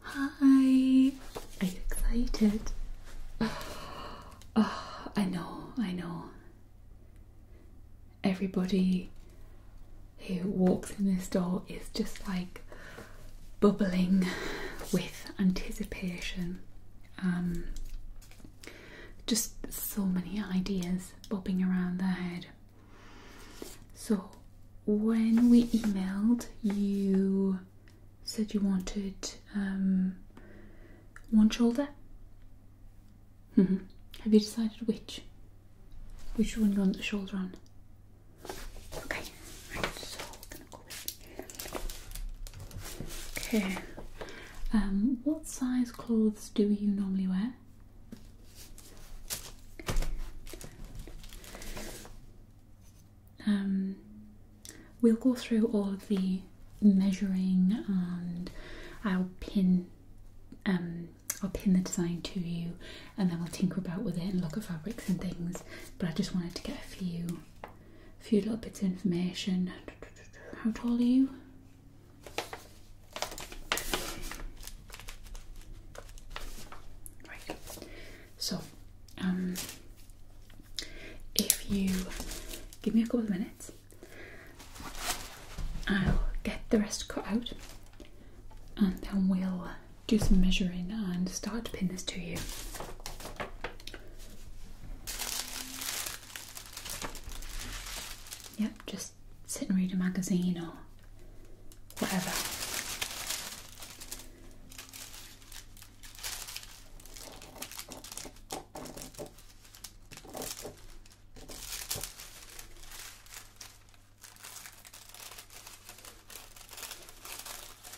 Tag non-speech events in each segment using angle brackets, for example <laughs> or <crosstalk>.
Hi! Are you excited? <sighs> Oh, I know, I know. Everybody who walks in this door is just like bubbling with anticipation. Um, just so many ideas bobbing around their head. So, when we emailed, you said you wanted um, one shoulder. Mm-hmm. Have you decided which? Which one you want the shoulder on? Okay, Okay. Um, what size clothes do you normally wear? Um, we'll go through all of the measuring and I'll pin um I'll pin the design to you and then we'll tinker about with it and look at fabrics and things but I just wanted to get a few a few little bits of information how tall are you? Right. So, um, if you give me a couple of minutes, I'll get the rest cut out, and then we'll do some measuring and start to pin this to you. Yep, just sit and read a magazine or whatever.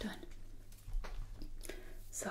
Done. So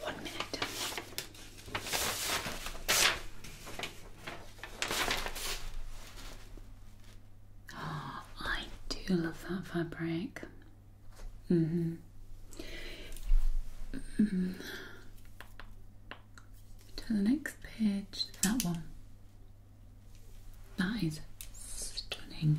One minute. <gasps> I do love that fabric. hmm -hmm. To the next page, that one. That is stunning.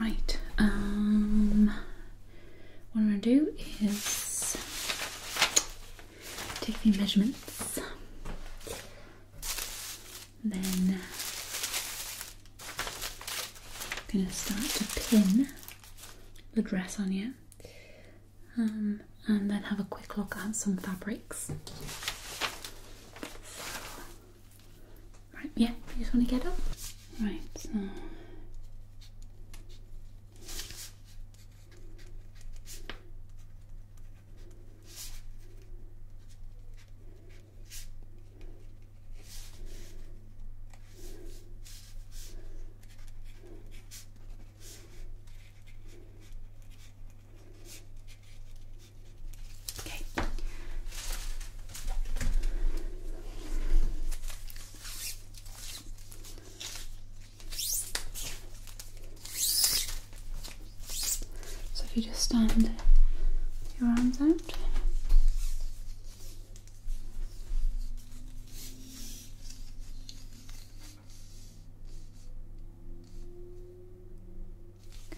Right, um, what I'm going to do is take the measurements, then I'm going to start to pin the dress on you, um, and then have a quick look at some fabrics. Right, yeah, you just want to get up? Right, so. So if you just stand your arms out.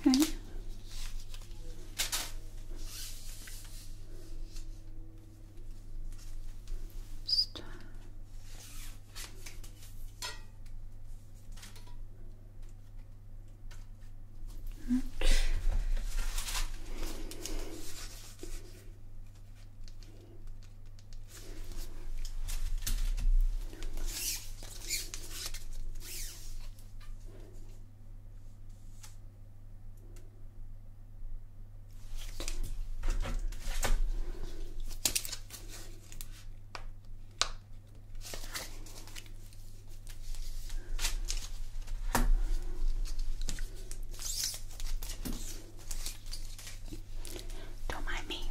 Okay. Star. Right. Don't mind me.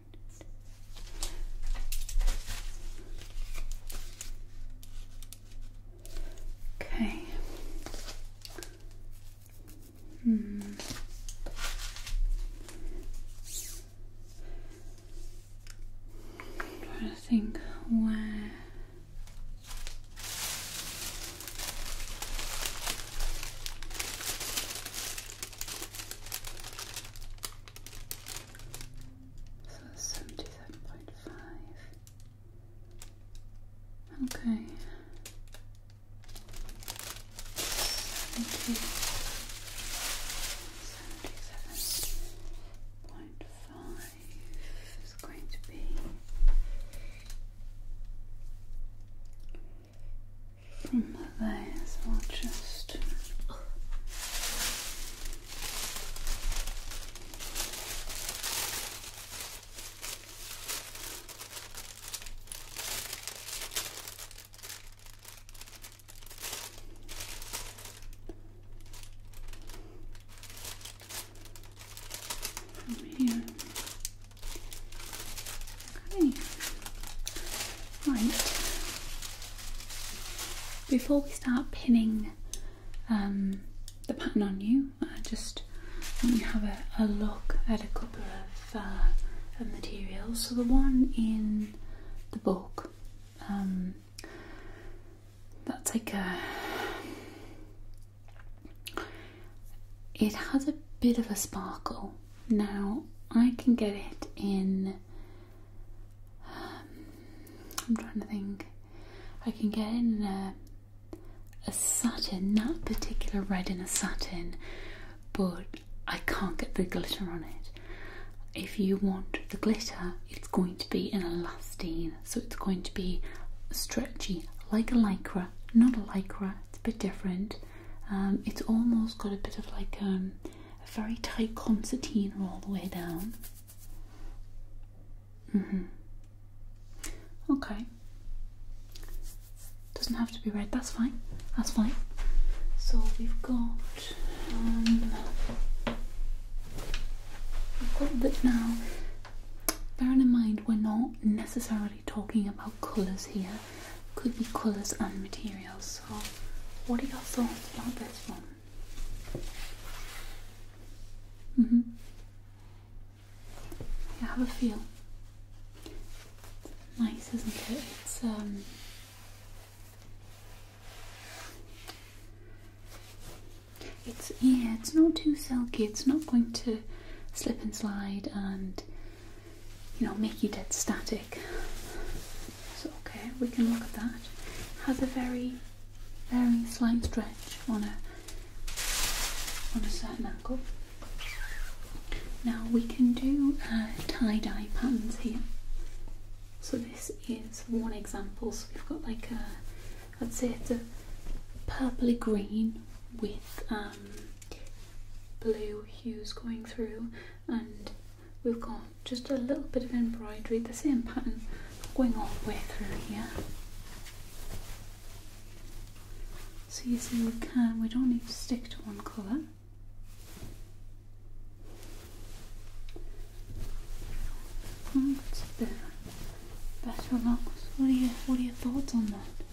Okay. Hmm. i trying to think where. So that's seventy-seven point five. Okay. Seventy seventy-seven point five is going to be from those will just from here. Okay. Right. Before we start pinning um, the pattern on you, I uh, just want you to have a, look at a couple uh, of materials. So the one in the book, um, that's like a. It has a bit of a sparkle. Now I can get it in I'm trying to think. I can get in a, a satin, that particular red in a satin, but I can't get the glitter on it. If you want the glitter, it's going to be in a elastine, so it's going to be stretchy, like a lycra, not a lycra, it's a bit different. Um, it's almost got a bit of like um, a very tight concertina all the way down. Mm-hmm. Okay. Doesn't have to be red, that's fine. That's fine. So we've got um, we've got that now. Bearing in mind we're not necessarily talking about colours here. Could be colours and materials. So, what are your thoughts about this one? Mm hmm. I have a feel. Nice, isn't it? It's um. It's yeah. It's not too silky. It's not going to slip and slide and you know, make you dead static. So okay, we can look at that. Has a very, very slight stretch on a on a certain angle. Now we can do uh, tie-dye patterns here. So this is one example. So we've got like a, I'd say it's a purpley green with um, blue hues going through and we've got just a little bit of embroidery, the same pattern going all the way through here. So you see we can, we don't need to stick to one colour. Oh, that's a bit better looks. What are what are your thoughts on that?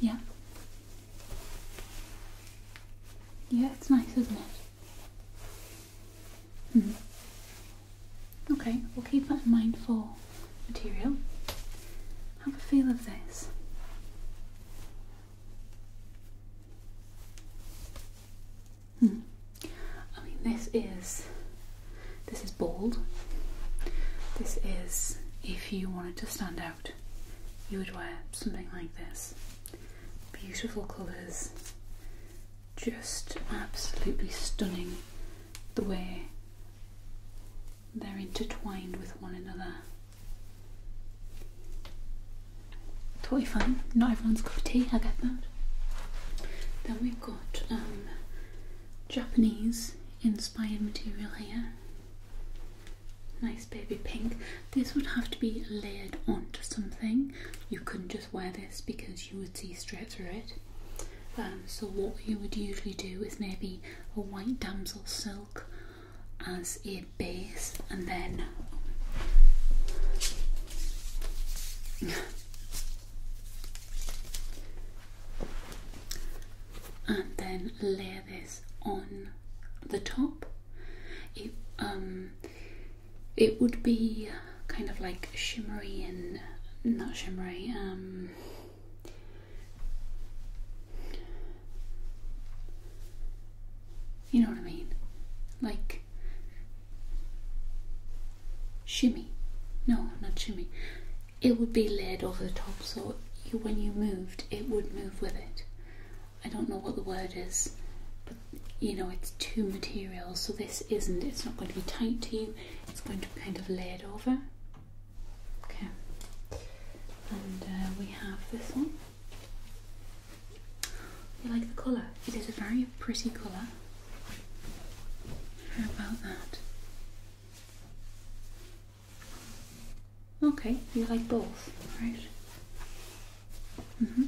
Yeah. Yeah, it's nice, isn't it? Mm-hmm. Okay, we'll keep that in mind for material. Have a feel of this. Hmm. I mean, this is this is bold. This is if you wanted to stand out you would wear something like this. Beautiful colours, just absolutely stunning the way they're intertwined with one another. Totally fine, not everyone's cup of tea, I get that. Then we've got um, Japanese inspired material here. Nice baby pink. This would have to be layered onto something. You couldn't just wear this because you would see straight through it. Um, so what you would usually do is maybe a white damsel silk as a base and then <laughs> and then layer this on the top. It um, it would be kind of like shimmery and not shimmery. Um, you know what I mean? Like shimmy. No, not shimmy it would be laid over the top so when you moved it would move with it i don't know what the word is but you know it's two materials so this isn't it's not going to be tight to you it's going to be kind of laid over okay and uh, we have this one you like the colour it is a very pretty colour how about that Okay, you like both, right? Mm-hmm.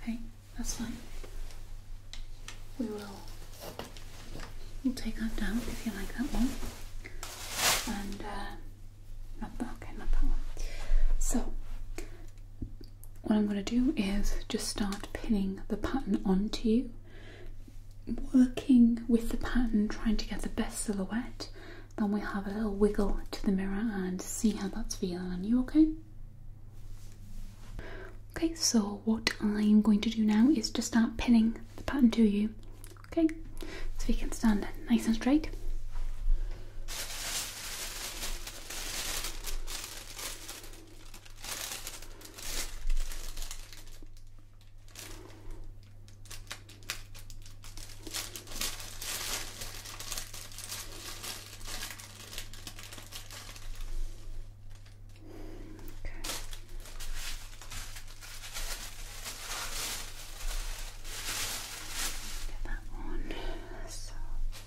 Okay, that's fine. We will we'll take that down if you like that one. And uh, not that okay, not that one. So what I'm gonna do is just start pinning the pattern onto you working with the pattern, trying to get the best silhouette, then we have a little wiggle to the mirror and see how that's feeling on you, okay? Okay, so what I'm going to do now is to start pinning the pattern to you, okay? So we can stand nice and straight. Okay. Get that one. So. Okay.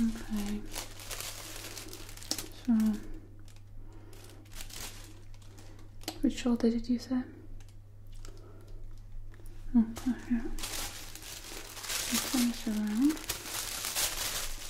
Okay. So, which shoulder did you say? Oh, okay. Turn this around.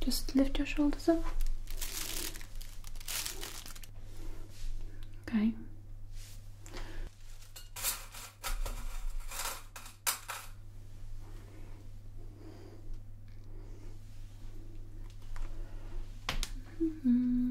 Just lift your shoulders up. Okay. Mm-hmm.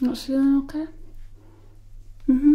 Not feeling okay? Mm hmm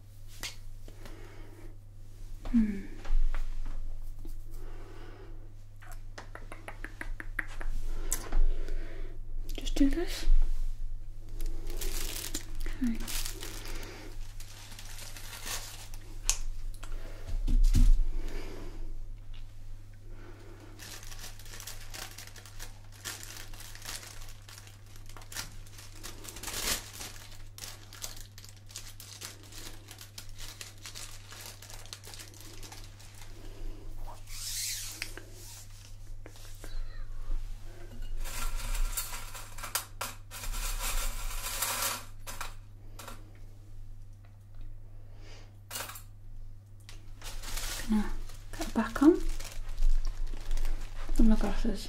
Hmm. Just do this. Okay. Gonna put back on. And my glasses.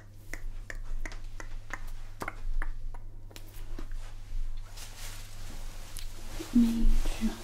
Let me just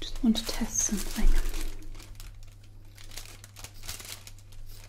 Just want to test something.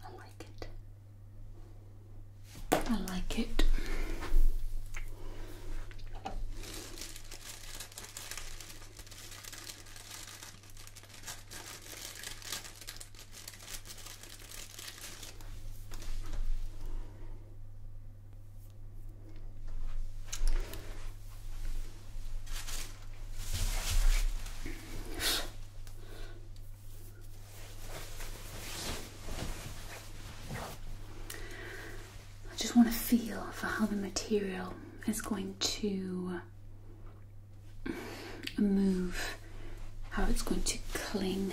I like it. I like it. I just want to feel for how the material is going to move how it's going to cling.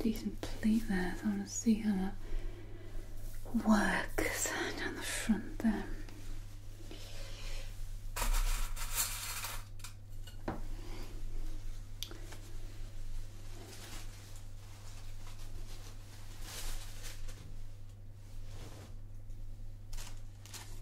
decent pleat there, I want to see how that works down the front there.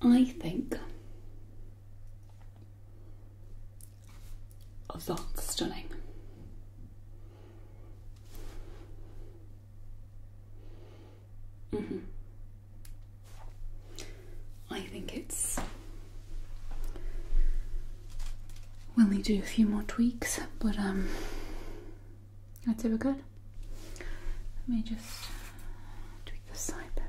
I think that's stunning. Mm-hmm. I think it's. We'll need to do a few more tweaks, but um, I'd say we good. Let me just tweak the side bit.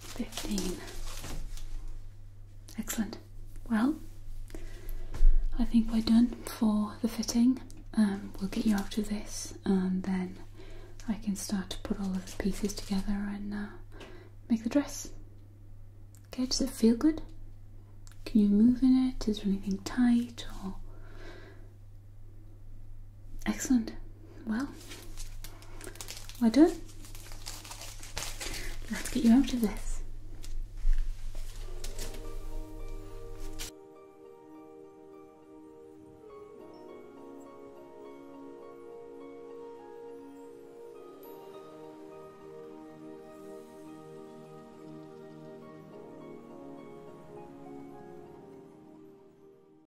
15. Excellent. Well, I think we're done for the fitting. Um, we'll get you out of this and then I can start to put all of the pieces together and uh, make the dress. Okay, does it feel good? Can you move in it? Is there anything tight or Excellent. Well, we're done. Let's get you out of this.